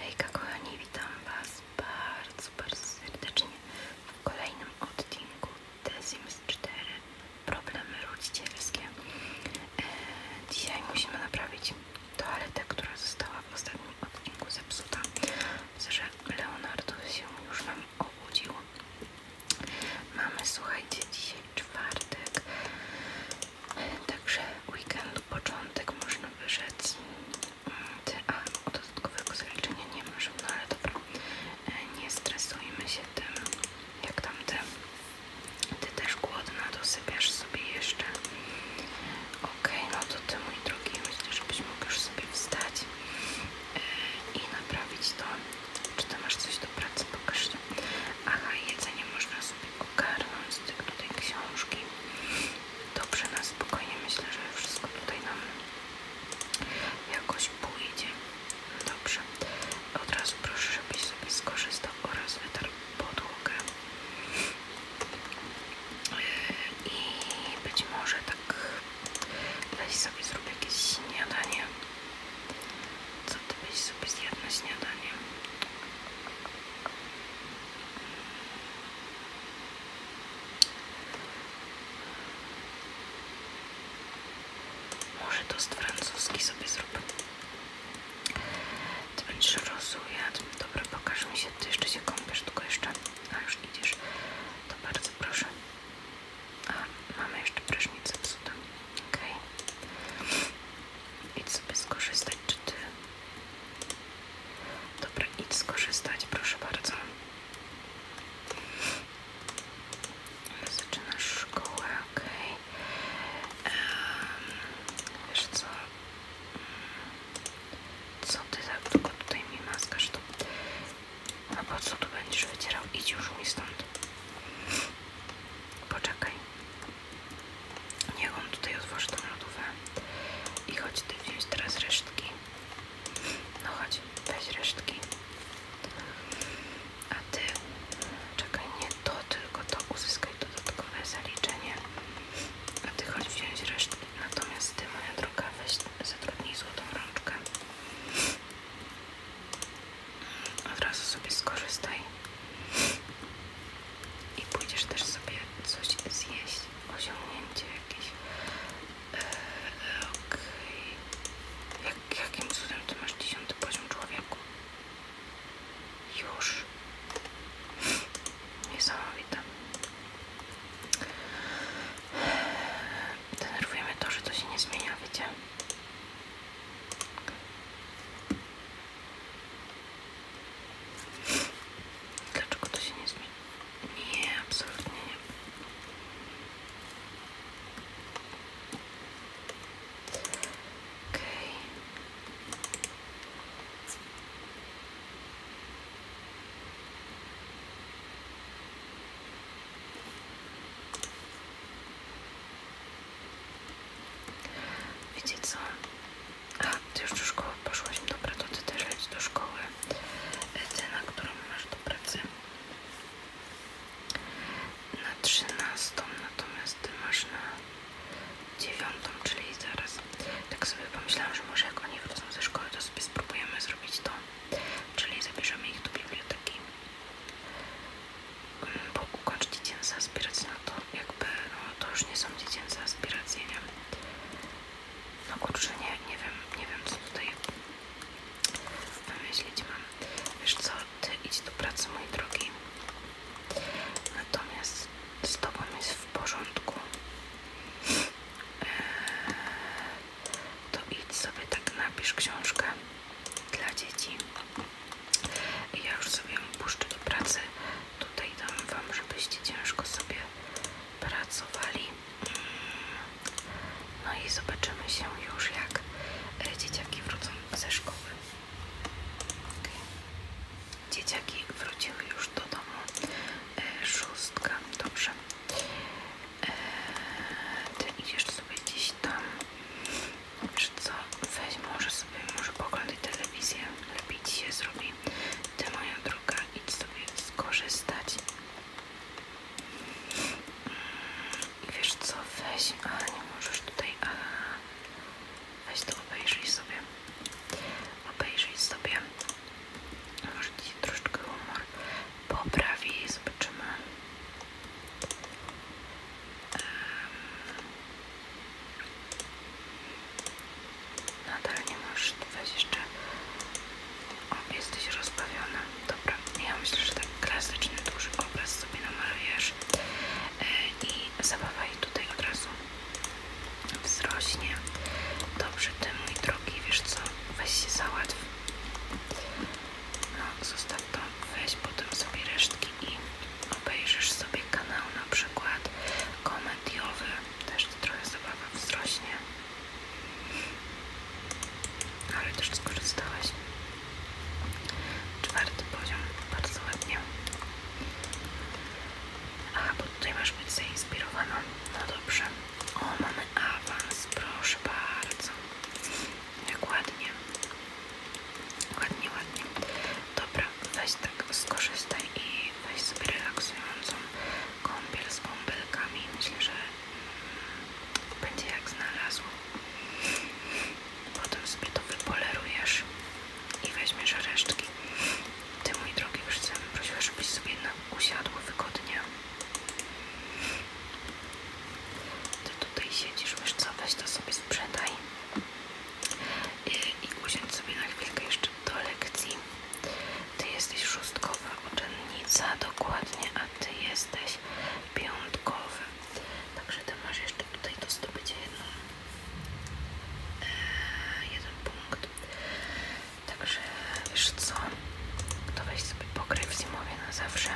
Hejka kochani, witam Was bardzo, bardzo serdecznie w kolejnym odcinku The 4 Problemy rodzicielskie e, Dzisiaj musimy naprawić toaletę, która została w ostatnim odcinku zepsuta Myślę, że Leonardo się już wam obudził Mamy, słuchajcie, dzisiaj czwartek Także weekend, początek można wyrzec. Mm, ty, a dodatkowego zaliczenia nie masz, no ale dobra. E, nie stresujmy się tym, jak tam ty. Ty też głodna, dosypiasz sobie jeszcze. Okej, no to ty mój drogi, myślę, byś mógł sobie wstać e, i naprawić to. Czy ty masz coś do pracy? Pokaż się. Aha, jedzenie można sobie kupić ogarnąć z tych tutaj książki. Dobrze, na spokojnie. Myślę, że wszystko tutaj nam jakoś pójdzie. Dobrze. Od razu proszę, żebyś sobie skorzystał oraz wytarł podłogę. I być może tak weź sobie zrobię jakieś śniadanie. Co ty byś sobie zjadł na śniadanie? Może tost francuski sobie zrób. Ty będziesz rozujadł. Dobra, pokaż mi się. Ty jeszcze się kąpiesz, tylko jeszcze... A, już idziesz. To bardzo proszę. A, mamy jeszcze prysznic zepsuty. Okej. Idź sobie skorzystać, czy ty? Dobra, idź skorzystać, proszę bardzo. Zaczynasz szkołę, okej. Okay. wiesz co? Mm, co ty za długo tutaj mi maskasz? To... A po co tu będziesz wycierał? Idź już mi stąd. Poczekaj. Niech on tutaj otworzy tą lodówkę. I chodź ty wziąć teraz resztki. No chodź, weź resztki. A ty, czekaj, nie to, tylko to uzyskaj dodatkowe zaliczenie. A ty chodź wziąć resztki. Natomiast ty, moja droga, weź zatrudnij złotą rączkę. A Od razu sobie skorzystaj i pójdziesz też sobie coś zjeść, osiągnięcie jakieś. Eee, Okej. jakim cudem to masz dziesiąty poziom człowieku? Już. Niesamowite. Denerwujemy to, że to się nie zmienia, widzicie? Dlaczego to się nie zmieni? Nie, absolutnie nie. Okay. Wiecie co? A, ty już do szkoły poszłaś. No dobra, to ty też leć do szkoły. Cena, którą masz do pracy. Na 13, natomiast ty masz na 9, czyli zaraz. Tak sobie pomyślałam, że może jak oni wrócą ze szkoły, to sobie spróbujemy zrobić to. Czyli zabierzemy ich do biblioteki bo kończ dziecięce aspiracji, no to jakby, no to już nie są dziecięce aspiracje, nie? No kurczę, nie, nie wiem, nie wiem co tutaj wymyślić mam. Wiesz co, ty idź do pracy, mój drogi. Natomiast z tobą jest w porządku. Eee, to idź sobie tak napisz książkę dla dzieci. Ja już sobie ją puszczę do pracy. Tutaj dam Wam, żebyście ciężko sobie pracowali. Mm. No i zobaczymy się już, jak e, dzieciaki wrócą ze szkoły. Okay. Dzieciaki wróciły już do domu. E, szóstka, dobrze. E, ty idziesz sobie gdzieś tam. Wiesz co, weź może sobie, może poglądaj telewizję, lepiej ci się Ty moja druga, idź sobie skorzystać. i mm, Wiesz co, weź, ale nie możesz tutaj, weź to obejrzyj sobie. Obejrzyj sobie. Może ci troszeczkę humor poprawi, zobaczymy. Nadal nie możesz, weź jeszcze. O, jesteś rozbawiona. Dobra, ja myślę, że tak klasyczny, duży obraz sobie namalujesz e, i zabawa jej tutaj od razu wzrośnie. Dobrze, ty mój drogi, wiesz co, weź się załatw. No, zostaw to, weź potem sobie resztki i obejrzysz sobie kanał na przykład komediowy. Też trochę zabawa wzrośnie. Ale też skorzystałeś Czwarty poziom, bardzo ładnie. Aha, bo tutaj masz być zainspirowana. No dobrze. O, mamy awans, proszę bardzo. Jak ładnie. Ładnie, ładnie. Dobra, weź tak skorzystaj i weź sobie relaksującą kąpiel z bąbelkami. Myślę, że mm, będzie jak znalazło. Potem sobie to wypolerujesz i weźmiesz resztki. Ty, mój drogi, już chcę żebyś sobie na usiadło wygodnie. Ty tutaj siedzisz, wiesz co, to sobie sprzedaj i, i sobie na chwilkę jeszcze do lekcji. Ty jesteś szóstkowa uczennica, dokładnie, a ty jesteś piątkowy. Także ty masz jeszcze tutaj do zdobycia jedną, e, jeden punkt. Także wiesz co, to weź sobie pokryj w na zawsze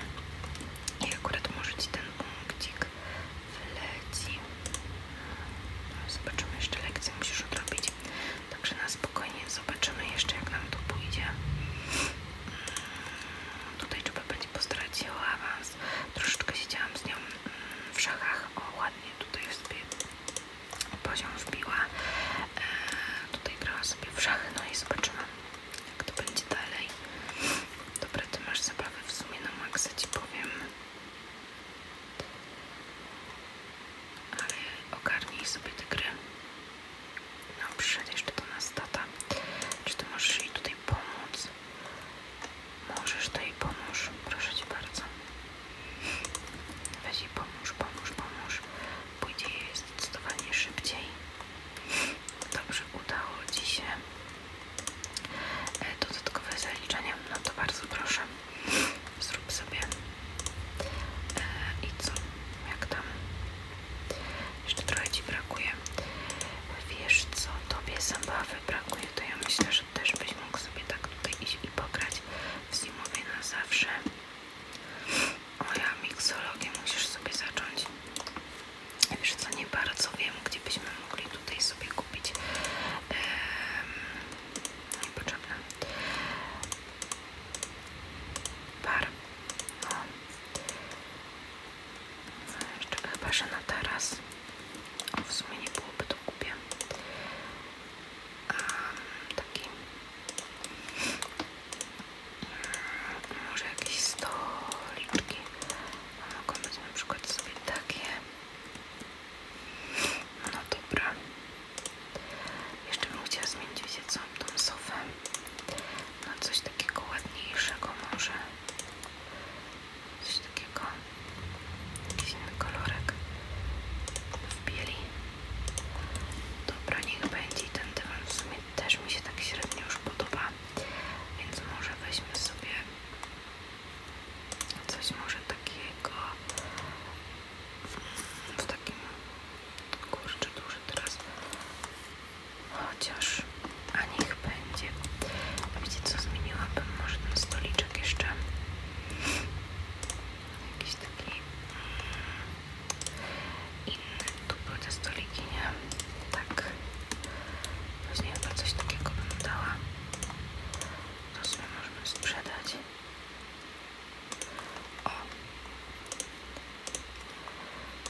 i akurat może ci da tak ten punkcik no, zobaczymy, jeszcze lekcję musisz odrobić. Także na spokojnie zobaczymy jeszcze jak nam to pójdzie. Mm, tutaj trzeba będzie postraciła awans. Troszeczkę siedziałam z nią mm, w szachach. O, ładnie tutaj sobie poziom wbiła. E, tutaj grała sobie w szachy. No i zobaczymy jak to będzie dalej. Dobra, ty masz zabawę w sumie na maksa, ci powiem. Ale ogarnij sobie te gry. No, przyszedł jeszcze do nas tata. Czy ty możesz jej tutaj pomóc? Możesz, to jej pomóż. Proszę ci bardzo. Weź jej pomóż, pomóż, pomóż. Pójdzie jej zdecydowanie szybciej. Dobrze, udało Ci się e, dodatkowe zaliczenie, no to bardzo proszę, zrób sobie e, i co, jak tam, jeszcze trochę Ci brakuje, wiesz co, Tobie zabawy brakuje, to ja myślę, że też byś mógł sobie tak tutaj iść i pograć w zimowie na zawsze. O ja musisz sobie zacząć. Wiesz co, nie bardzo wiem, gdzie byśmy mogli tutaj sobie kupić ehm, niepotrzebne par. No. chyba, że na teraz. O, w sumie nie byłoby to głupie. taki może jakieś stoliczki mogą być na przykład sobie takie no dobra jeszcze bym chciała zmienić wiecie co, tą sofę na coś takiego ładniejszego może coś takiego jakiś inny kolorek w dobra, niech będzie i ten dywan też mi się tak średnio już podoba więc może weźmiemy sobie coś może takiego w takim kurczę duży teraz chociaż a niech będzie wiecie co zmieniłabym może ten stoliczek jeszcze jakiś taki mm, Inny tu były te stoliki, nie? Tak. Później chyba coś takiego bym dała. To sobie możemy sprzedać. O!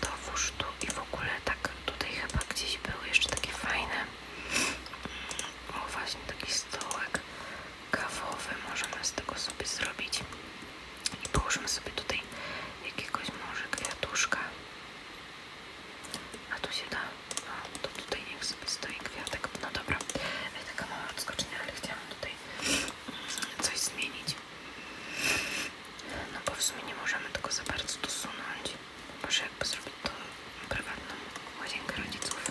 To wóż tu i w ogóle tak tutaj chyba gdzieś były jeszcze takie fajne. O właśnie taki stołek kawowy możemy z tego sobie zrobić i położymy sobie tutaj jakiegoś może kwiatuszka a tu się da, no to tutaj niech sobie stoi kwiatek, no dobra e, taka mała odskocznia, ale chciałam tutaj mm, coś zmienić no bo w sumie nie możemy tego za bardzo dosunąć chyba, że jakby zrobić to prywatną łazienkę rodziców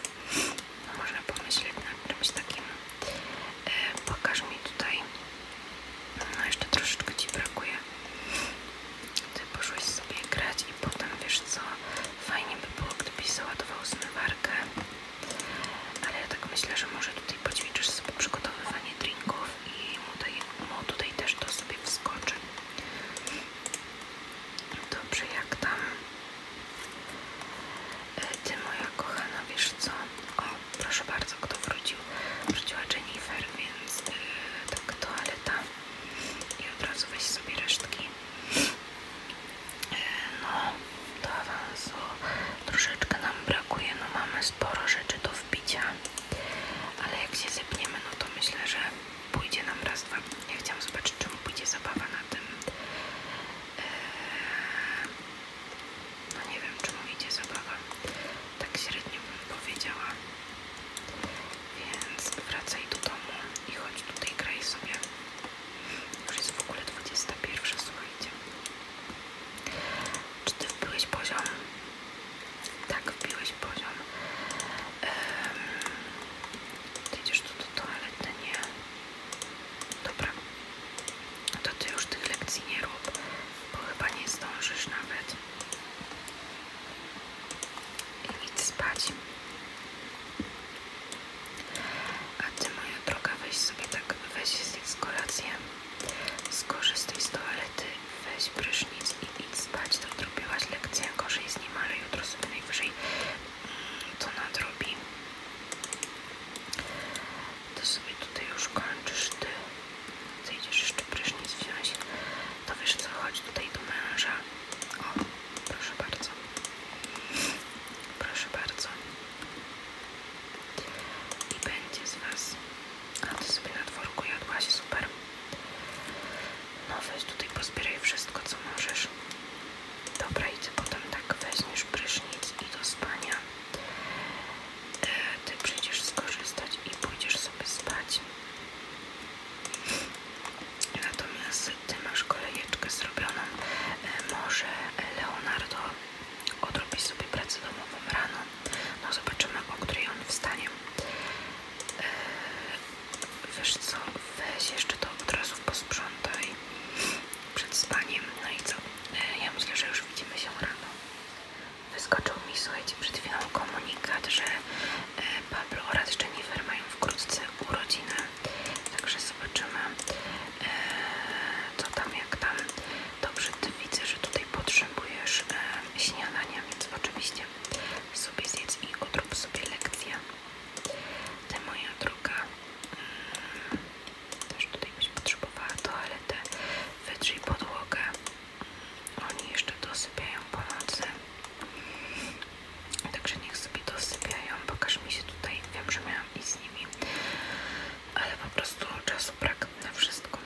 no można pomyśleć nad czymś takim e, pokaż mi tutaj no jeszcze troszeczkę Ci brakuje. Ty poszłeś sobie grać i potem wiesz co, fajnie by było gdybyś załadował zmywarkę. Ale ja tak myślę, że może tutaj poćwiczysz sobie przygotowywanie drinków i mu tutaj, mu tutaj też to sobie wskoczy. Dobrze, jak tam? E, ty moja kochana, wiesz co? proszę bardzo, kto wrócił? Wróciła Jennifer, więc yy, tak toaleta i od razu weź sobie resztki. E, no, do awansu troszeczkę nam brakuje, no mamy sporo rzeczy do wbicia, ale jak się zepniemy, no to myślę, że pójdzie nam raz, dwa. Ja chciałam zobaczyć, czemu pójdzie zabawa na tym. Yy, no nie wiem, czy mu idzie zabawa. Tak średnio bym powiedziała. Więc wracaj do domu i chodź tutaj graj sobie. Już jest w ogóle 21, słuchajcie. Czy ty wbiłeś poziom? Tak, wbiłeś poziom. Um, ty idziesz ale do Nie. Dobra, to ty już tych lekcji nie rób, bo chyba nie zdążysz nawet. I idź spać. A ty, moja droga, weź sobie tak, weź z kolację, skorzystaj z toalety, weź prysznic i idź spać. To odrobiłaś lekcję, gorzej z nim, ale jutro sobie najwyżej mm, to nadrobi to sobie tutaj już kończysz ty zejdziesz jeszcze prysznic wziąć to wiesz co, chodź tutaj do męża o, proszę bardzo proszę bardzo i będzie z was a ty sobie na dworku jadłaś, super no weź tutaj pozbieraj wszystko co możesz dobra i ty potem tak weźmiesz prysznic i do spania ty przyjdziesz skorzystać i pójdziesz sobie spać. Natomiast ty masz kolejeczkę zrobioną. E, może Leonardo odrobi sobie pracę domową rano. No zobaczymy, o której on wstanie. E, wiesz co, weź jeszcze to od razu posprzątaj przed spaniem. No i co? E, ja myślę, że już widzimy się rano. Wyskoczył mi, słuchajcie, przed chwilą komunikat, że e, Pablo oraz Jennifer mają wkrótce urodziny. Także zobaczymy, e, co tam, jak tam. Dobrze, ty widzę, że tutaj potrzebujesz śniadania, więc oczywiście sobie zjedz i odrób sobie lekcję. Ty moja droga, mm, też tutaj byś potrzebowała toaletę. Wytrzyj podłogę. Oni jeszcze dosypiają po nocy. Także niech sobie dosypiają. Pokaż mi się tutaj. Wiem, że miałam iść z nimi. Ale po prostu czasu brak na wszystko.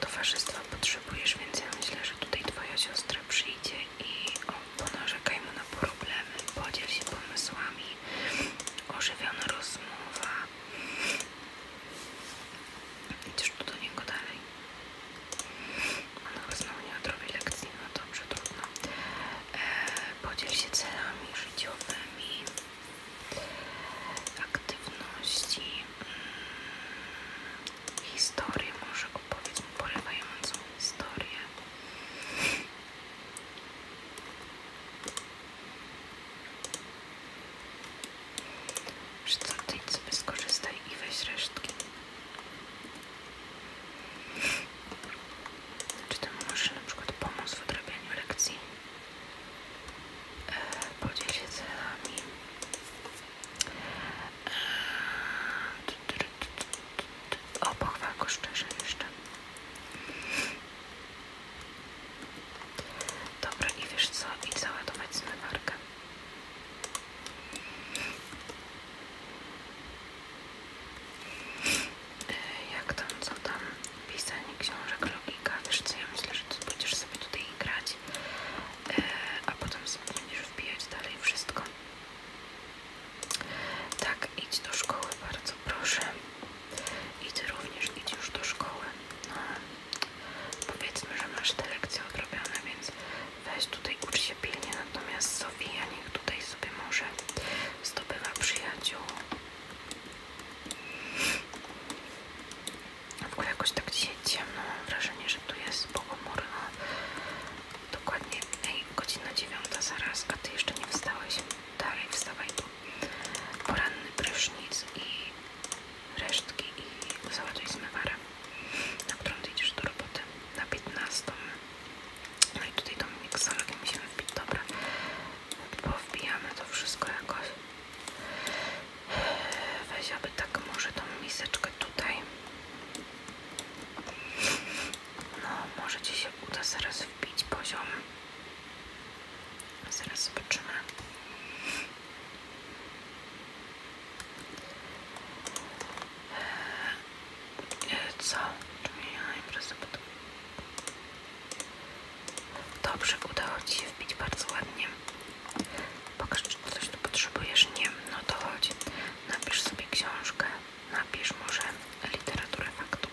Towarzystwa potrzebujesz, więc ja myślę, że tutaj twoja siostra przyjdzie i o, ponarzekaj mu na pół problemy, podziel się pomysłami, ożywiona rozmowa. Idziesz tu do niego dalej. On znowu nie odrobi lekcji, no dobrze, trudno. E, podziel się celami życiowymi, aktywności, mm, historię, może opowiedz mu porywającą historię. Przy tamtej sobie skorzystaj i weź resztki. Czy ty możesz na przykład pomóc w odrabianiu lekcji? podzielić? podziel się celami. E, o, pochwal szczerze jeszcze. Dobra, nie wiesz co? Idź załadować zmywarkę. E, jak tam, co tam? Pisanie książek, logika. Wiesz co, ja myślę, że ty będziesz sobie tutaj grać, e, a potem sobie będziesz wbijać dalej wszystko. Tak, idź do szkoły, bardzo proszę. I ty również idź już do szkoły. No, powiedzmy, że masz te lekcje odrobione, więc weź tutaj ucz się pilnie. Natomiast Sofia niech tutaj sobie może zdobywa przyjaciół. W ogóle jakoś tak dzisiaj ciemno, mam wrażenie, że tu jest pochmurno. Dokładnie, ej, godzina dziewiąta zaraz, a ty jeszcze nie wstałeś. Dalej, wstawaj tu. Poranny prysznic i resztki i załatwij zmywarę, na którą ty idziesz do roboty. Na 15. No i tutaj Dominik z musimy wbić. Dobra. bo wbijamy to wszystko jakoś. Weź, aby tak może tą miseczkę tutaj. No, może ci się uda zaraz wbić poziom. Zaraz zobaczymy. E, e, co? Czyli ja najprawdopodobniej. Dobrze, udało Ci się wbić bardzo ładnie. Pokaż, czy coś tu potrzebujesz. Nie, no to chodź. Napisz sobie książkę napisz może literaturę faktu.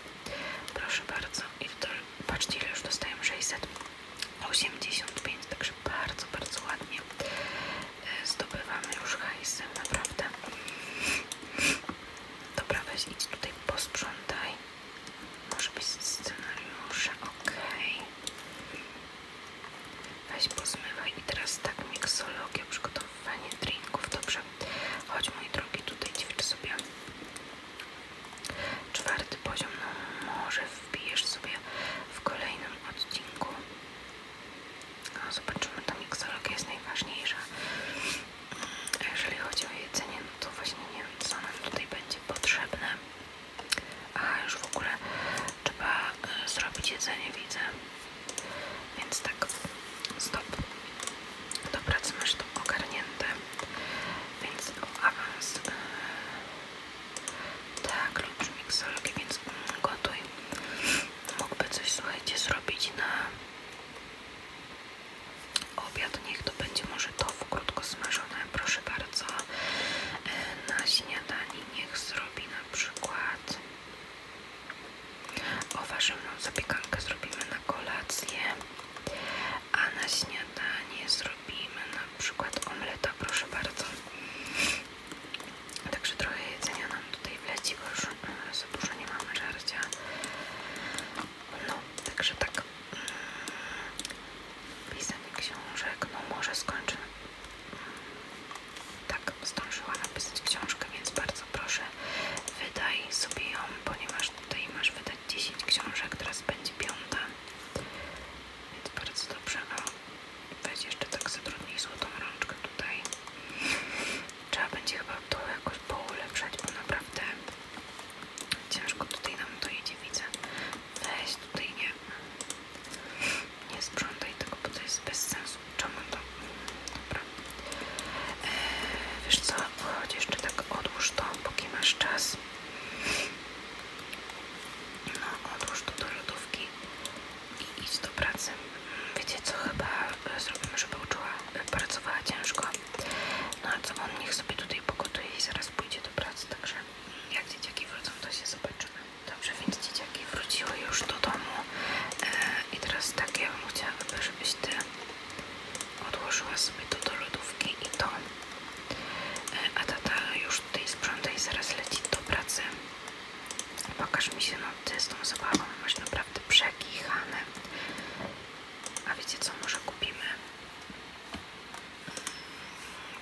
Proszę bardzo. I to, patrzcie ile już dostaję 685, także bardzo, bardzo ładnie e, zdobywamy już hajsy, naprawdę. Dobra, weź idź tutaj posprzątaj. Może być scenariusze, okej. Weź pozmywaj i teraz tak miksologię przygotować fanie drinków. Dobrze. Chodź mój drogi, tutaj ćwicz sobie. Czwarty poziom, no, może wbijesz sobie w kolejnym odcinku. No, zobaczymy, ta miksologia jest najważniejsza. A jeżeli chodzi o jedzenie, no to właśnie nie wiem, co nam tutaj będzie potrzebne. A już w ogóle trzeba y, zrobić jedzenie, widzę. Więc tak, stop. Dobra, co to ogarnięte. Więc awans. E, tak, klucz miksologii, więc um, gotuj. Mógłby coś, słuchajcie, zrobić na obiad. Niech to będzie może to wkrótce smażone, proszę bardzo. E, na śniadanie niech zrobi na przykład o warzywną zapiekankę zrobimy na kolację, a na śniadanie zrobimy na przykład omleta, proszę bardzo. Także trochę jedzenia nam tutaj wleci, bo już e, za dużo nie mamy żarcia. No, także tak. Mm, pisanie książek, no może skończę tak zdążyła napisać książkę, więc bardzo proszę wydaj sobie ją, ponieważ tutaj masz wydać 10 książek, teraz będzie piąta, więc bardzo dobrze, a weź jeszcze tak za zatrudnij złotą rączkę tutaj. Trzeba będzie chyba to jakoś poulepszać, bo naprawdę ciężko tutaj nam to jedzie, widzę. Weź tutaj nie, nie sprzątaj tego, bo to jest bez sensu skłóczone to. Dobra. E, wiesz co, chodź jeszcze tak odłóż to, póki masz czas. No, odłóż to do lodówki i idź do pracy. Wiecie co, chyba e, zrobimy, żeby uczyła, e, pracowała ciężko. No co, on niech sobie tutaj pogotuje i zaraz pójdzie do pracy, także jak dzieciaki wrócą, to się zobaczymy. Dobrze, więc dzieciaki dzieciaki już do domu e, i teraz tak ja bym chciała, żebyś Ty odłożyła sobie to do lodówki i to e, a tata już tutaj sprząta i zaraz leci do pracy pokaż mi się, no Ty z tą zabawą masz naprawdę przekichane a wiecie co, może kupimy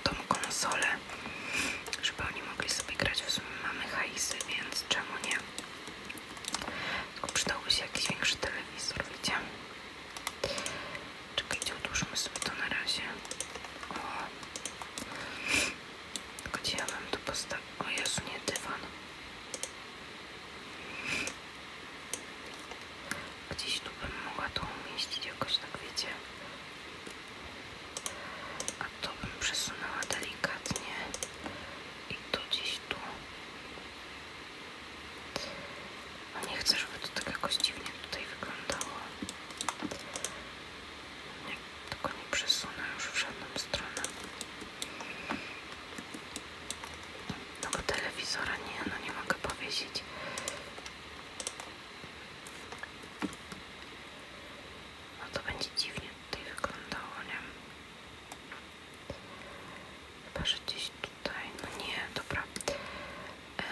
tą konsole, żeby oni mogli sobie grać, w sumie mamy hajsy, więc czemu nie tylko przydałby się jakiś większy telewizor, wiecie? Czekajcie, odłóżmy sobie to na razie. O. Gdzie ja mam to postać? O Jezu, nie dywan. Gdzieś tu bym mogła to umieścić jakoś, tak wiecie to bym przesunęła delikatnie i tu gdzieś tu no nie chcę, żeby to tak jakoś dziwnie tutaj wyglądało nie, tylko nie przesunę już w żadną stronę no bo telewizora nie, no nie mogę powiedzieć. no to będzie dziwnie tutaj wyglądało, nie? Chyba, że gdzieś tutaj, no nie, dobra. E,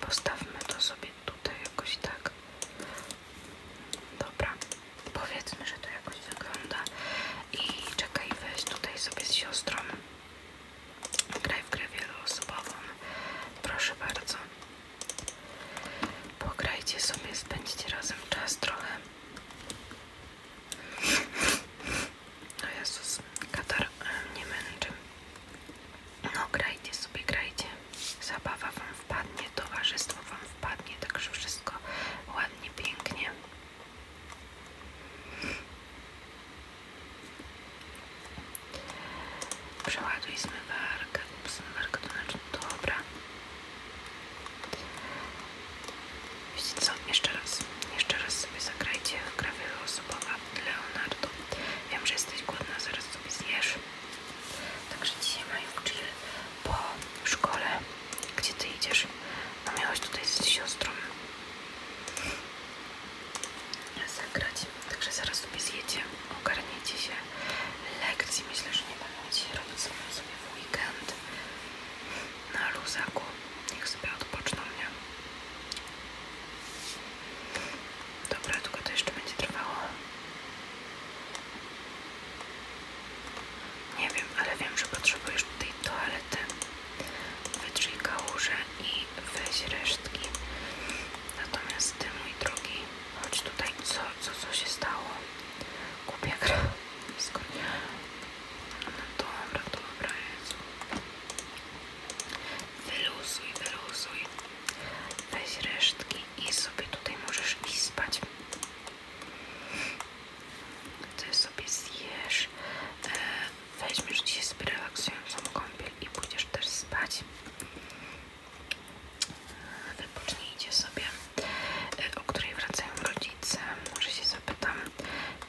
postawmy to sobie tutaj jakoś tak. Dobra, powiedzmy, że to jakoś wygląda. I czekaj, weź tutaj sobie z siostrą. Graj w grę wieloosobową. Proszę bardzo. Pograjcie sobie, spędźcie razem czas trochę. No Jezus, katar e, nie męczy. No grajcie sobie, grajcie. Zabawa wam wpadnie, towarzystwo wam wpadnie, także wszystko ładnie, pięknie. Przeładuj zmywarkę, zmywarkę to znaczy Dobra. Wiecie co? Jeszcze raz. Jeszcze raz sobie zagrajcie w gra wieloosobowa Leonardo. Wiem, że jesteś głodna, zaraz sobie zjesz. Także dzisiaj mają chill po szkole. Gdzie ty idziesz? No miałaś tutaj z siostrą zagrać. Także zaraz sobie zjecie ogarniecie się lekcji. Myślę, że nie będą dzisiaj robić, sobie, sobie w weekend na luzaku. Niech sobie odpoczną, nie? Dobra, tylko to jeszcze będzie trwało. Nie wiem, ale wiem, że potrzebujesz tej toalety. Wytrzyj kałuże i weź resztki. Natomiast ty, mój drugi. Chodź tutaj, co, co, co się stało? Głupia gra. No dobra, dobra, Jezu. Wyluzuj, wyluzuj. Weź resztki i sobie tutaj możesz iść spać. Ty sobie zjesz. E, weźmiesz dzisiaj sobie relaksującą kąpiel i pójdziesz też spać wypocznijcie sobie, e, o której wracają rodzice, może się zapytam,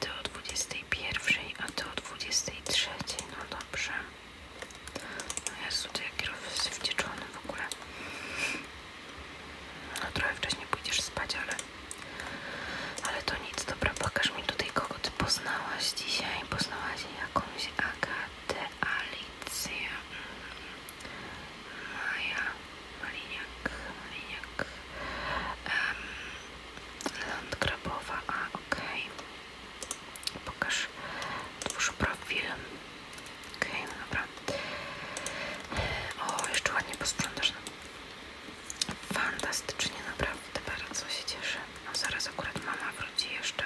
ty o 21, a ty o 23, no dobrze. No ja to jak kierowcy wdzieczony w ogóle. No trochę wcześniej pójdziesz spać, ale... Ale to nic, dobra, pokaż mi tutaj kogo ty poznałaś dzisiaj. Poznałaś jakąś Agatę, Ali, Alicja Maja Maliniak, Maliniak um, a ok, okay. pokaż twórz profil ok, okay, no dobra o, jeszcze ładnie posprzątasz fantastycznie, naprawdę bardzo się cieszę no zaraz akurat mama wróci jeszcze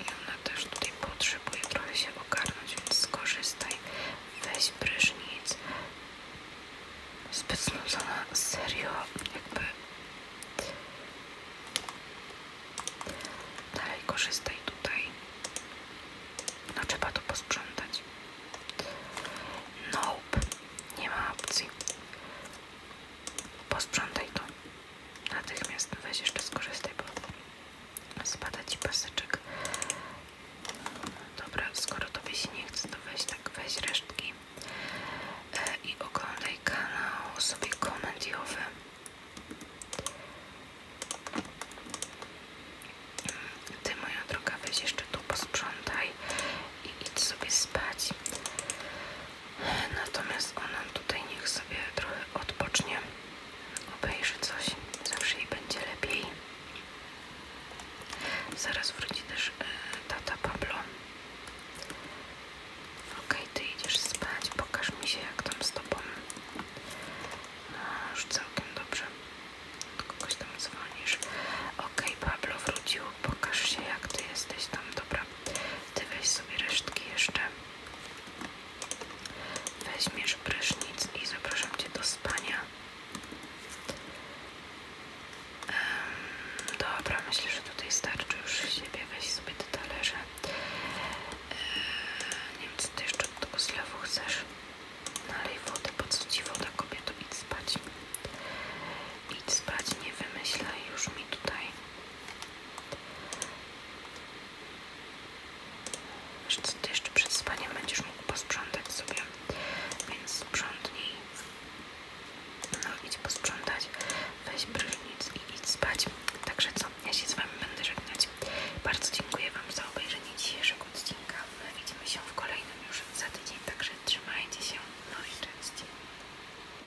i ona też tutaj potrzebuje trochę się ogarnąć, więc skorzystaj. Weź prysznic. Zbyt znudzona, serio, jakby... Dalej korzystaj tutaj. No trzeba to posprzątać. Nope, nie ma opcji. Posprzątaj to. Natychmiast weź jeszcze skorzystaj, bo spada ci paseczek. Dobra, skoro tobie się nie chce, to weź tak, weź resztki e, i oglądaj kanał sobie komediowy. Ty moja droga, weź jeszcze tu posprzątaj i idź sobie spać. Natomiast ona tutaj niech sobie trochę odpocznie, obejrzy coś, zawsze jej będzie lepiej. Zaraz wróci też e, tata Pablo. Okej, ty idziesz spać, pokaż mi się jak tam z tobą. No, już całkiem dobrze. Kogoś tam dzwonisz. Okej, Pablo wrócił, pokaż się jak ty jesteś tam, dobra. Ty weź sobie resztki jeszcze. Weźmiesz prysznic i zapraszam Cię do spania. dobra, myślę, że tutaj starczy już siebie. Weź sobie talerze. E, nie wiem, co Ty jeszcze od tego zlewu chcesz. Nalej wodę, po co Ci woda, kobieto? Idź spać. Idź spać, nie wymyślaj już mi tutaj Wiesz ty jeszcze przed spaniem będziesz mógł posprzątać sobie, więc sprzątnij. No idź posprzątać, weź prysznic i idź spać. Także co, ja się z wami będę żegnać. Bardzo dziękuję wam za obejrzenie dzisiejszego odcinka. My widzimy się w kolejnym już za tydzień, także trzymajcie się. No i cześć.